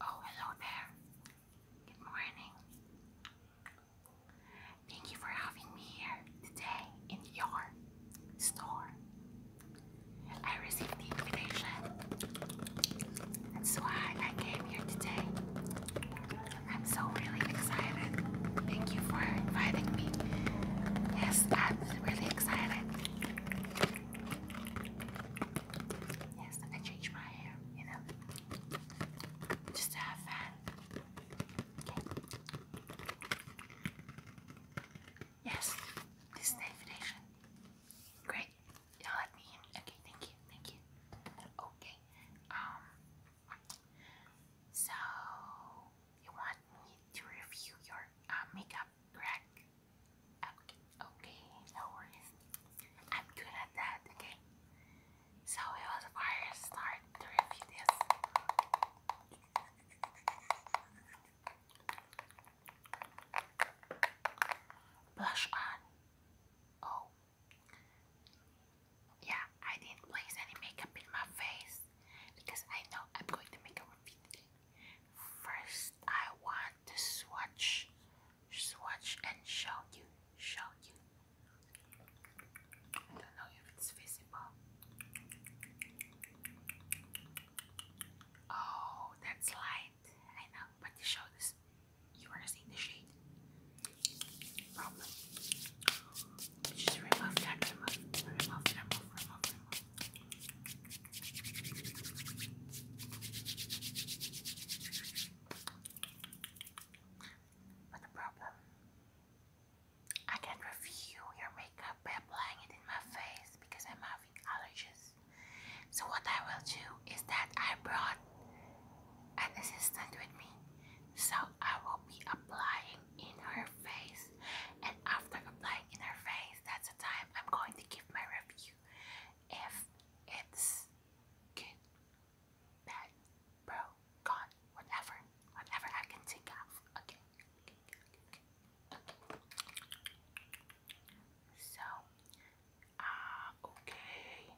Oh, hello there. Good morning. Thank you for having me here today in your store. I received the invitation. That's why I came here today. I'm so really excited. Thank you for inviting me. Yes, I'm really excited. Yes, I change my hair, you know, just to have fun. Okay. Yes, this is Great. Y'all let me in. Okay, thank you, thank you. Okay. Um. So you want me to review your uh, makeup crack. Okay, okay, no worries. I'm good at that, okay? So it was a fire start to review this. Blush on. Oh. Yeah, I didn't place any makeup in my face because I know I'm going to make a review today. First, I want to swatch, swatch and show you, show you. I don't know if it's visible. Oh, that's light. I know, but you show this. You are seeing the shade. Problem. Just the problem, I can't review your makeup by applying it in my face because I'm having allergies. So what I will do is that I brought an assistant with me, so I will be applying in her face and after applying in her face, that's the time I'm going to give my review. If it's good, bad, bro, gone, whatever, whatever I can take off. Okay, okay, okay, okay. So, ah, okay.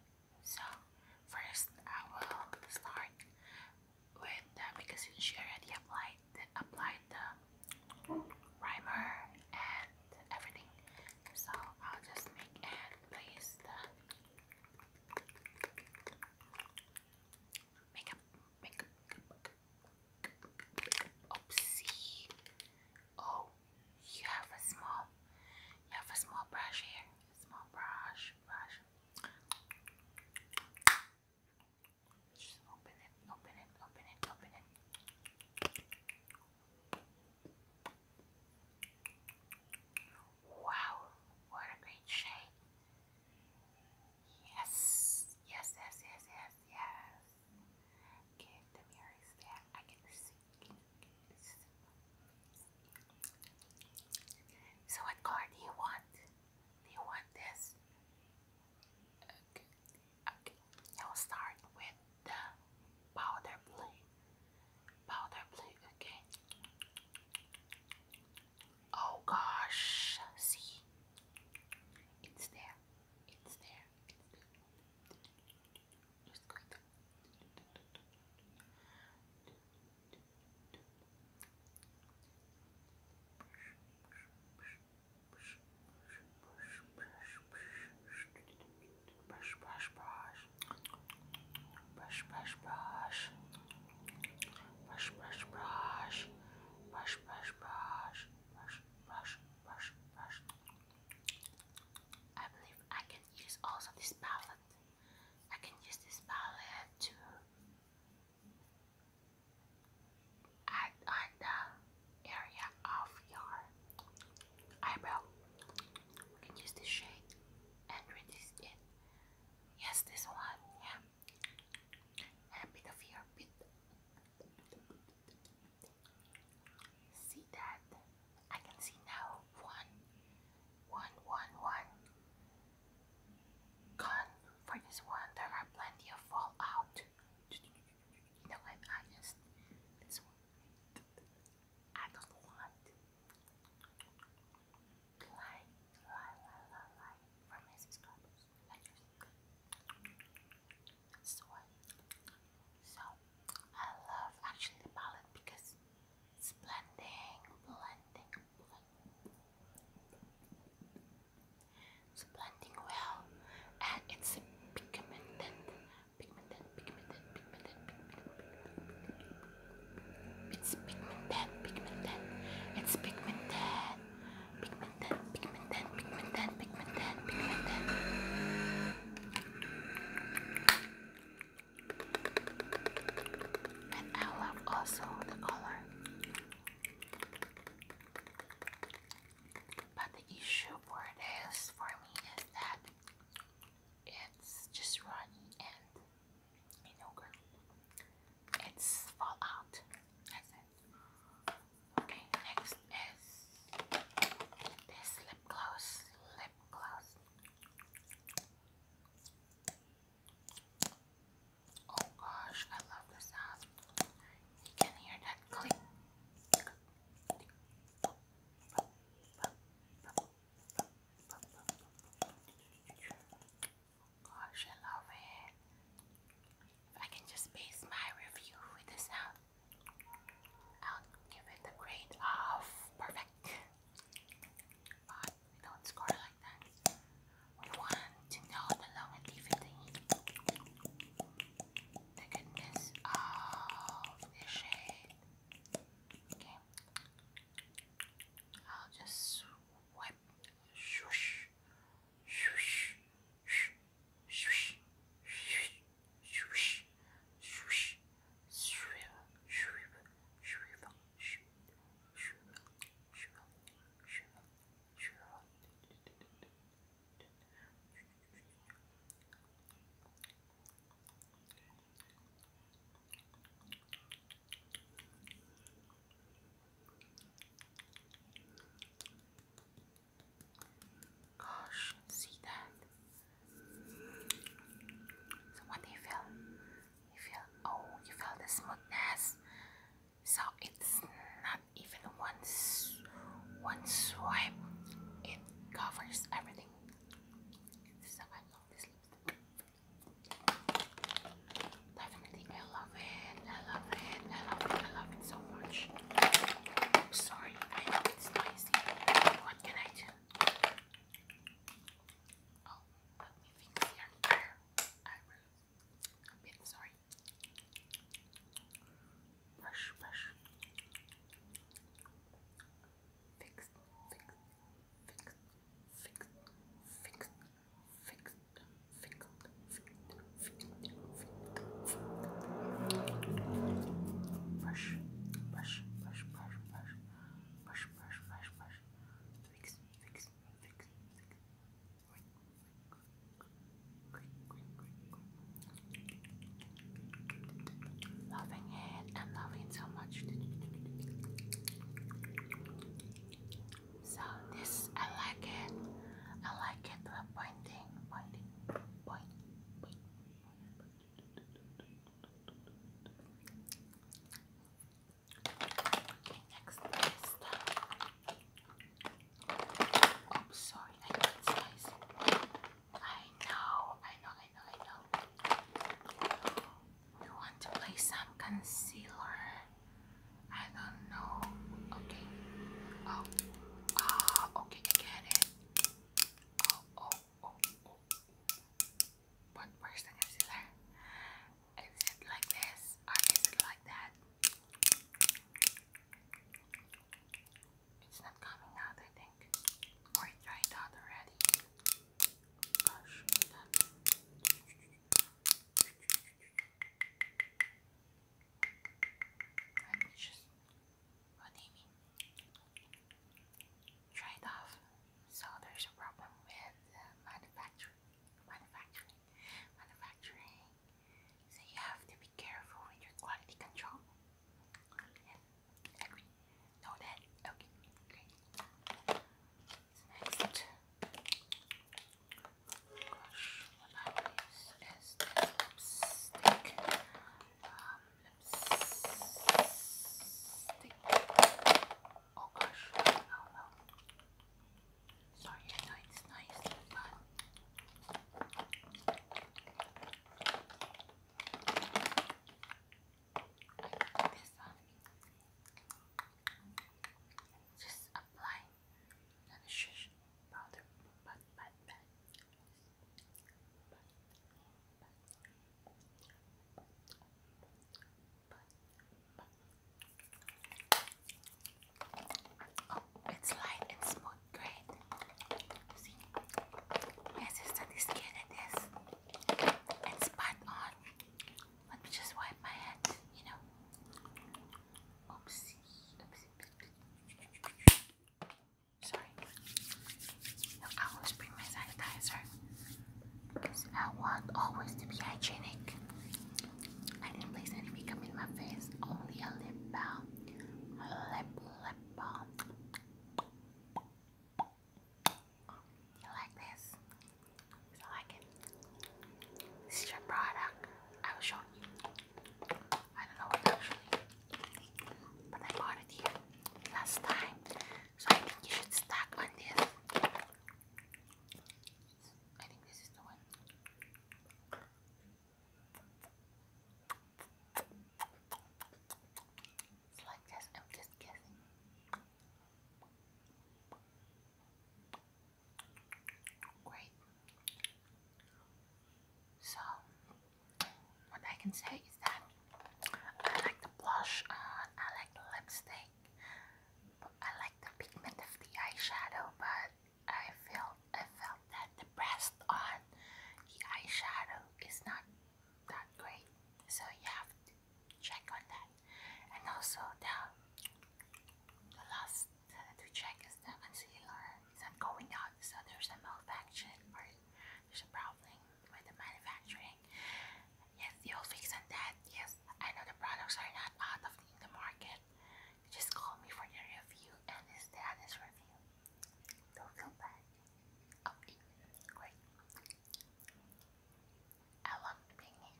So, first I will start when because she already applied applied the primer and everything, so I'll just make and place the makeup makeup. Oopsie! Oh, you have a small, you have a small brush here. Small brush, brush. Just open it, open it, open it, open it. Wow, what a great shape. Yes, yes, yes, yes, yes, yes. the mirror there. I can see. So, what color do you want? you want this? Okay. Okay. I will start with the powder blue. Powder blue. Okay. Oh gosh. See. It's there. It's there. Just going brush, brush, brush, brush, brush, brush, brush, brush, brush, brush, brush, brush, brush, brush, brush, brush. I believe I can use also this palette. I can use this palette to add on the area of your eyebrow. can use this shade and reduce it. Yes, this one, yeah. And a bit of your bit. See that? I can see now one, one, one, one. Gone for this one. There are plenty of fallout. You I'm honest. This one, I don't want. Lie, lie, lie, lie, for my subscribers. Like this So I love actually the palette because it's blending, blending, blending. It's blending well and it's pigmented, pigmented, pigmented, pigmented, pigmented. It's pigmented, pigmented, it's pigmented, pigmented, pigmented, pigmented, pigmented, pigmented. And I love also the color. But the issue for this for me is that it's just runny and you know it's fall out. Okay, next is this lip gloss. Lip gloss. Oh gosh, I love the sound. You can hear that click. Gosh, I love it. If I can just base my review with the sound, I'll give it a grade of perfect but we don't score like that. We want to know the long The goodness of the shade. Okay. I'll just wipe. Shush. Shush. Shush. Shush. Shush. Swish, swish, shrivel, shrivel, Gosh, see that? So what do you feel? You feel, oh, you feel the smoothness. So it's not even once, one swipe. It covers everything. So I love this lipstick. Definitely, I love it. I love it. I love it. I love it so much. sorry, I know it's not spicy. What can I do? Oh, let me fix your I'm sorry. Brush, brush. fix, fix, fix, fix, fix, fix, fix, fix, fix brush, brush, brush, brush, brush, brush, brush, brush, brush, fix, fix, fix, fix, loving it and loving it so much. So this, I like it. I like it. The pointing, pointing. Okay, next is the... sorry, I know I know, I know, I know, I want to play some concealer? I don't know. Okay. Oh. Ah, okay, get it. Oh, oh, oh, oh, oh. What person is it? Is it like this or is it like that? It's not coming out, I think. Or it out already. Gosh, just what do you off. So there's a problem with uh, manufacturing, manufacturing, manufacturing. So you have to be careful with your quality control. agree. Know that. Okay, great. So Gosh, what I use is lipstick. lipstick. Oh gosh, no, no. Sorry, I nice, but. This one. Just apply Oh, it's light and smooth, great. See, yes, it's that is good it is. It's spot on. Let me just wipe my head, you know. Oopsie, Sorry. I always bring my sanitizer because I want always to be hygienic. I didn't place any makeup in my face, only a lip balm. lip, lip balm. You like this? So I can see the product I was showing you. I don't know actually, but I bought it here last time. So I think you should stack on this. I think this is the one. It's like this, I'm just guessing. Great. So, what I can say is that I like the blush on, I like the lipstick, I like the pigment of the eyeshadow, but I felt I felt that the pressed on the eyeshadow is not that great. So you have to check on that and also the, the last uh, to check is the concealer is not going out so there's a malfunction or there's a problem with the manufacturing yes you'll fix that yes I know the products are not out of the, market just call me for the review and it's the honest review don't feel bad okay great I love being in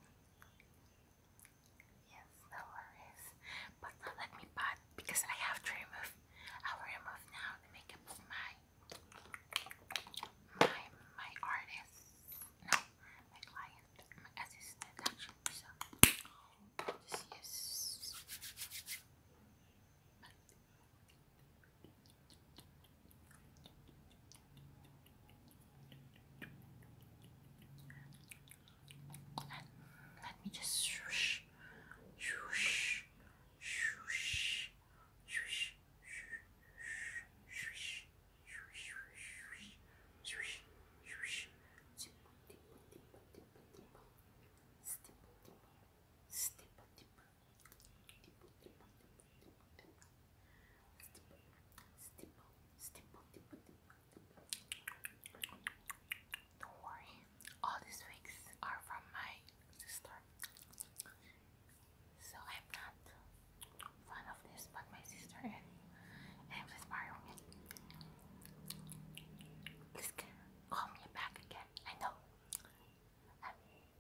Yes, no But let me pat because I have to remove. I will remove now the makeup of my my my artist. No, my client, my assistant actually. So just let me just swoosh, swoosh, swoosh, swoosh, swoosh, swoosh, swoosh, Stipple, stipple, stipple, stipple, stipple, stipple, Stipple, stipple, Don't worry, all these wigs are from my sister. So I'm not fan of this, but my sister and I'm inspired me. call me back again. I know a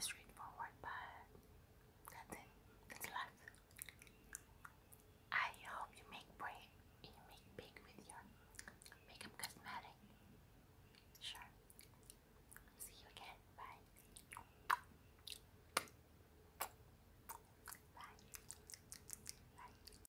straightforward, but that's it. That's life. I hope you make break, you make big with your makeup cosmetic. Sure. See you again. Bye. Bye. Bye.